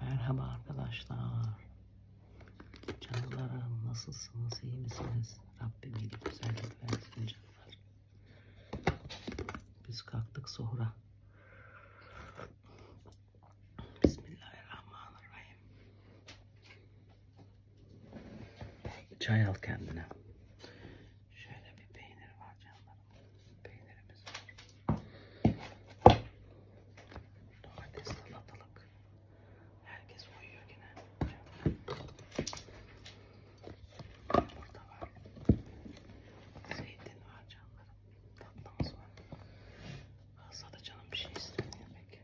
Merhaba arkadaşlar. Canlarım nasılsınız? iyi misiniz? Rabbim iyi güzellik versin canlar. Biz kalktık sonra. Bismillahirrahmanirrahim. Çay al kendine. Şöyle bir peynir var canlar. Peynirimiz var. Domates, salatalık. Herkes uyuyor yine. Burada var. Zeytin var canlarım. Tatlımız var. Hasta da canım bir şey istemiyor pek.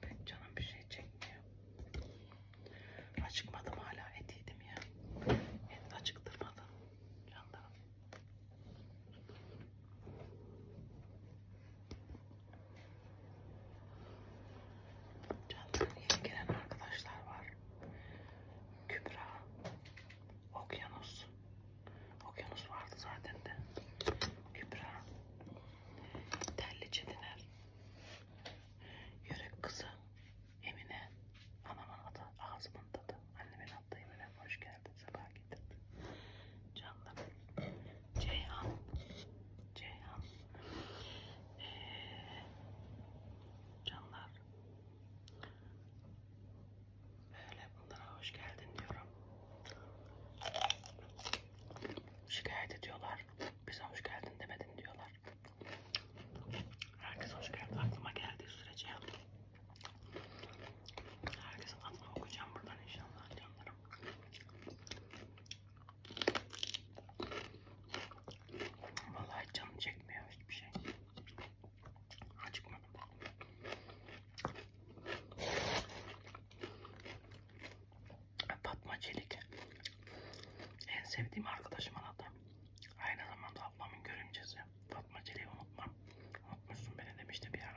Pek canım bir şey çekmiyor. Acıkmadım hala et yedim ya. Et acıktırmadı canlarım. Canlarım yeni gelen arkadaşlar var. Kübra, Okyanus. Okyanus vardı zaten de. Kübra, Telli Çetiner. Yörük kızı Emine. Anamın adı ağzımın tadı. Annemin adı Emine. Hoş geldin. Sabah getirdin. Canım. Ceyhan. Ceyhan. Ee, canlar. Böyle bunlara hoş geldin diyorum. Şikayet ediyorlar. Bize hoş geldin demedin diyorlar. Herkes hoş geldin aklıma geldiği sürece. Herkesin adını okuyacağım buradan inşallah canlarım. Vallahi canım çekmiyor hiçbir şey. Acıkmadım. Fatma Çelik. En sevdiğim arkadaşım adı. Aynı zamanda ablamın görümcesi Fatma Çelik'i unutmam. Unutmuşsun beni demişti bir ara.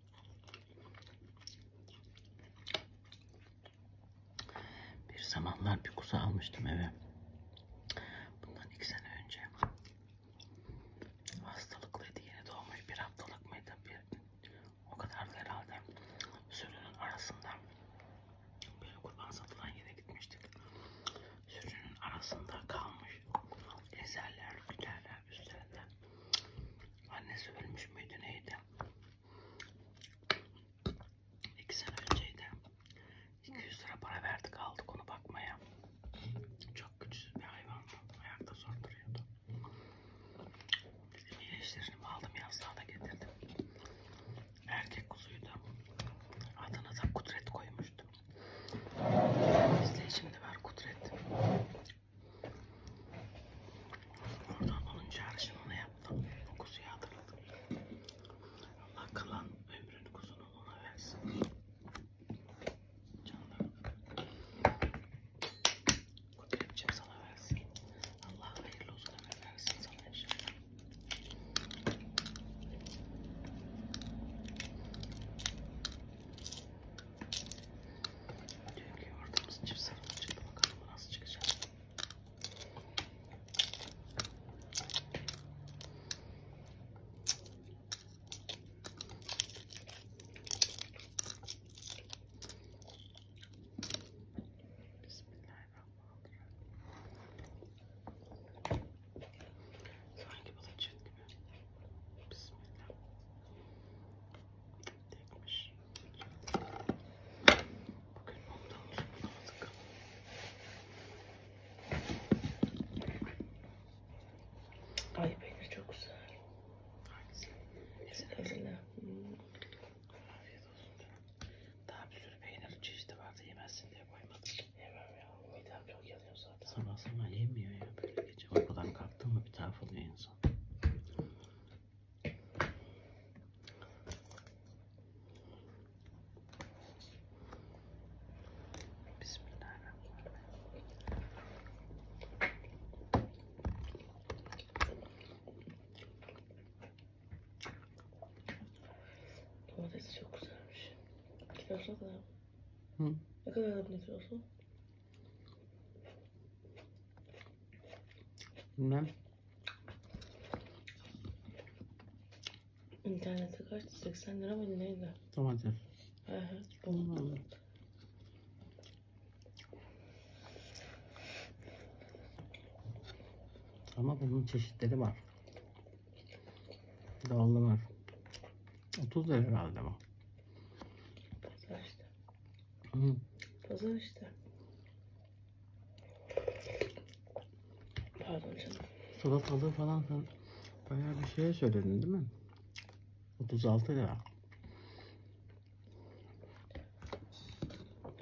Bir zamanlar bir kuzu almıştım eve. Bundan iki sene önce. Hastalıklıydı. Yeni doğmuş. Bir haftalık mıydı? Bir, o kadardı herhalde. Sürünün arasında böyle kurban satılan yere gitmiştik. Sürünün arasında kalmış. Ezerler, güderler ya üstlerinde. Annesi ölmüş müydü neydi? İki sene önceydi. 200 lira para verdik aldık onu bakmaya. Çok güçlü bir hayvandı. Ayakta zor duruyordu. İyileştirini aldım yazlığa da getirdim. Erkek kuzuydu. Adına da kudret koymuştum. İzleyicimde var Kudret. Orada onun çağrışımı ona yaptım. O kuzuyu hatırladım. Allah kalan ömrünü kuzunu ona versin. Canlarım. Kudretciğim sana versin. Allah hayırlı uzun ömür versin sana inşallah. Dünkü yoğurdumuz çift sarılı çıktı. Bakalım bu nasıl çıkacak. Bismillahirrahmanirrahim. Sanki bulacak gibi. Bismillah. Tekmiş. Bugün ondan uzun aldık. Ay peynir çok güzel. Hangisi? Ezberle. Afiyet olsun canım. Daha bir sürü peynir çeşidi vardı yemezsin diye koymadım. Yemem ya. Midem çok yanıyor zaten. Sabah sabah yemiyor ya böyle gece. Uykudan kalktı mı bir taraf oluyor insan. Domates çok güzelmiş. Kilosu da Hı. Ne kadar aldın kilosu? Bilmem. İnternette kaçtı? 80 lira mı neydi? Domates. He he. Onu aldım. Ama bunun çeşitleri var. Dallanır. 30 lira herhalde bu. Pazar işte. Hı. Pazar işte. Pardon canım. Salatalığı falan sen bayağı bir şeye söyledin değil mi? 36 lira.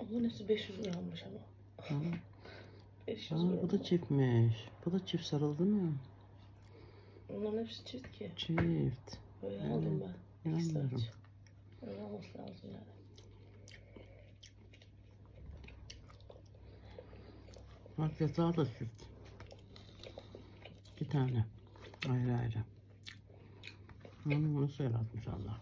Bunun hepsi 500 lira almış ama. Hı. 500 Aa, bu da çiftmiş. Bu da çift sarıldı mı? Bunların hepsi çift ki. Çift. Böyle yani, aldım ben. İnanmıyorum. Öyle olması lazım yani. Bak yatağı da çift. İki tane. Ayrı ayrı. Onu bunu söyletmiş Allah.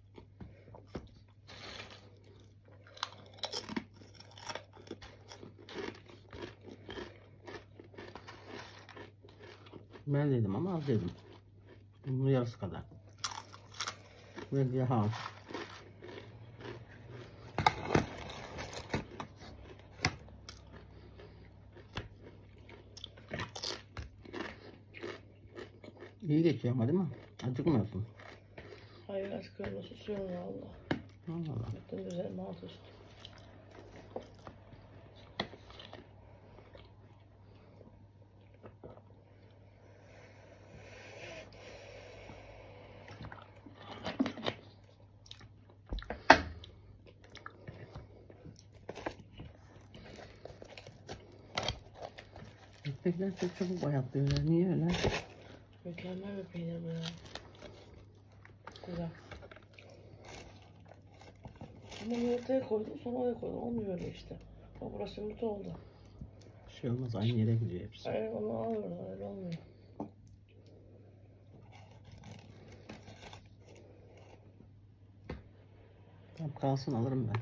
Ben dedim ama az dedim. Bunun yarısı kadar. Ve daha az. İyi geçiyor ama değil mi? Acıkmıyorsun. Hayır acıkıyorum. Susuyorum valla. Allah Allah. Bütün güzel alt üstü. Böbrekler çok çabuk bayatlıyorlar. Niye öyle? Mükemmel bir peynir bu ya. Güzel. Ama yumurtaya koydum sonra oraya koydum. Olmuyor öyle işte. Bak burası yumurta oldu. Bir şey olmaz. Aynı yere gidiyor hepsi. Evet onu al oradan. Öyle olmuyor. Tam kalsın alırım ben.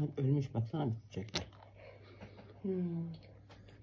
Hep ölmüş baksana bitecekler. Hmm.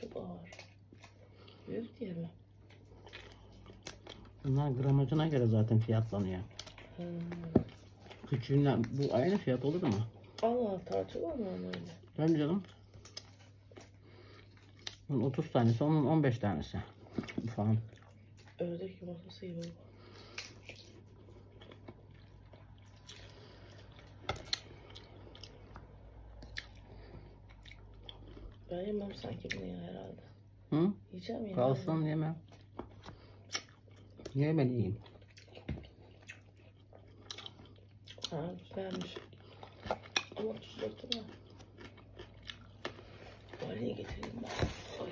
Çok ağır. Büyük diye mi? Bunlar gramajına göre zaten fiyatlanıyor. Hmm. Küçüğünden bu aynı fiyat olur mu? Allah tartı var mı öyle? Tabii canım. Bunun 30 tanesi, onun 15 tanesi. Falan. Ördek yumurtası gibi. Ben yemem sanki bunu ya herhalde. Hı? Yiyeceğim ya. Kalsın yemem. Yemeli yiyin. Ha güzelmiş. Ama tuzlu değil mi? Valeye getireyim ben. Oy.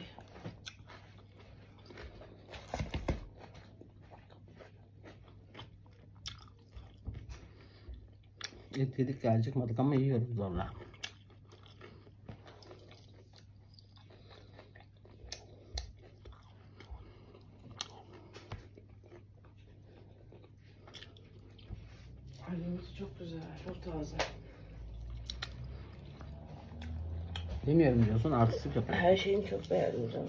Et yedik ya acıkmadık ama yiyoruz zorla. Halimiz çok güzel, çok taze. Yemiyorum diyorsun, artistlik yapıyorsun. Her şeyini çok beğendim canım.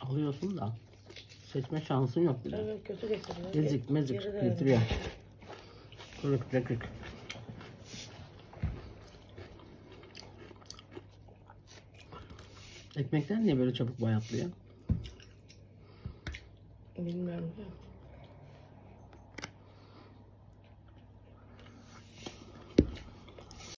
Alıyorsun da seçme şansın yok bile. Evet, kötü getiriyor. Ezik mezik Geri de getiriyor. Kırık dökük. Ekmekler niye böyle çabuk bayatlıyor? Bilmiyorum.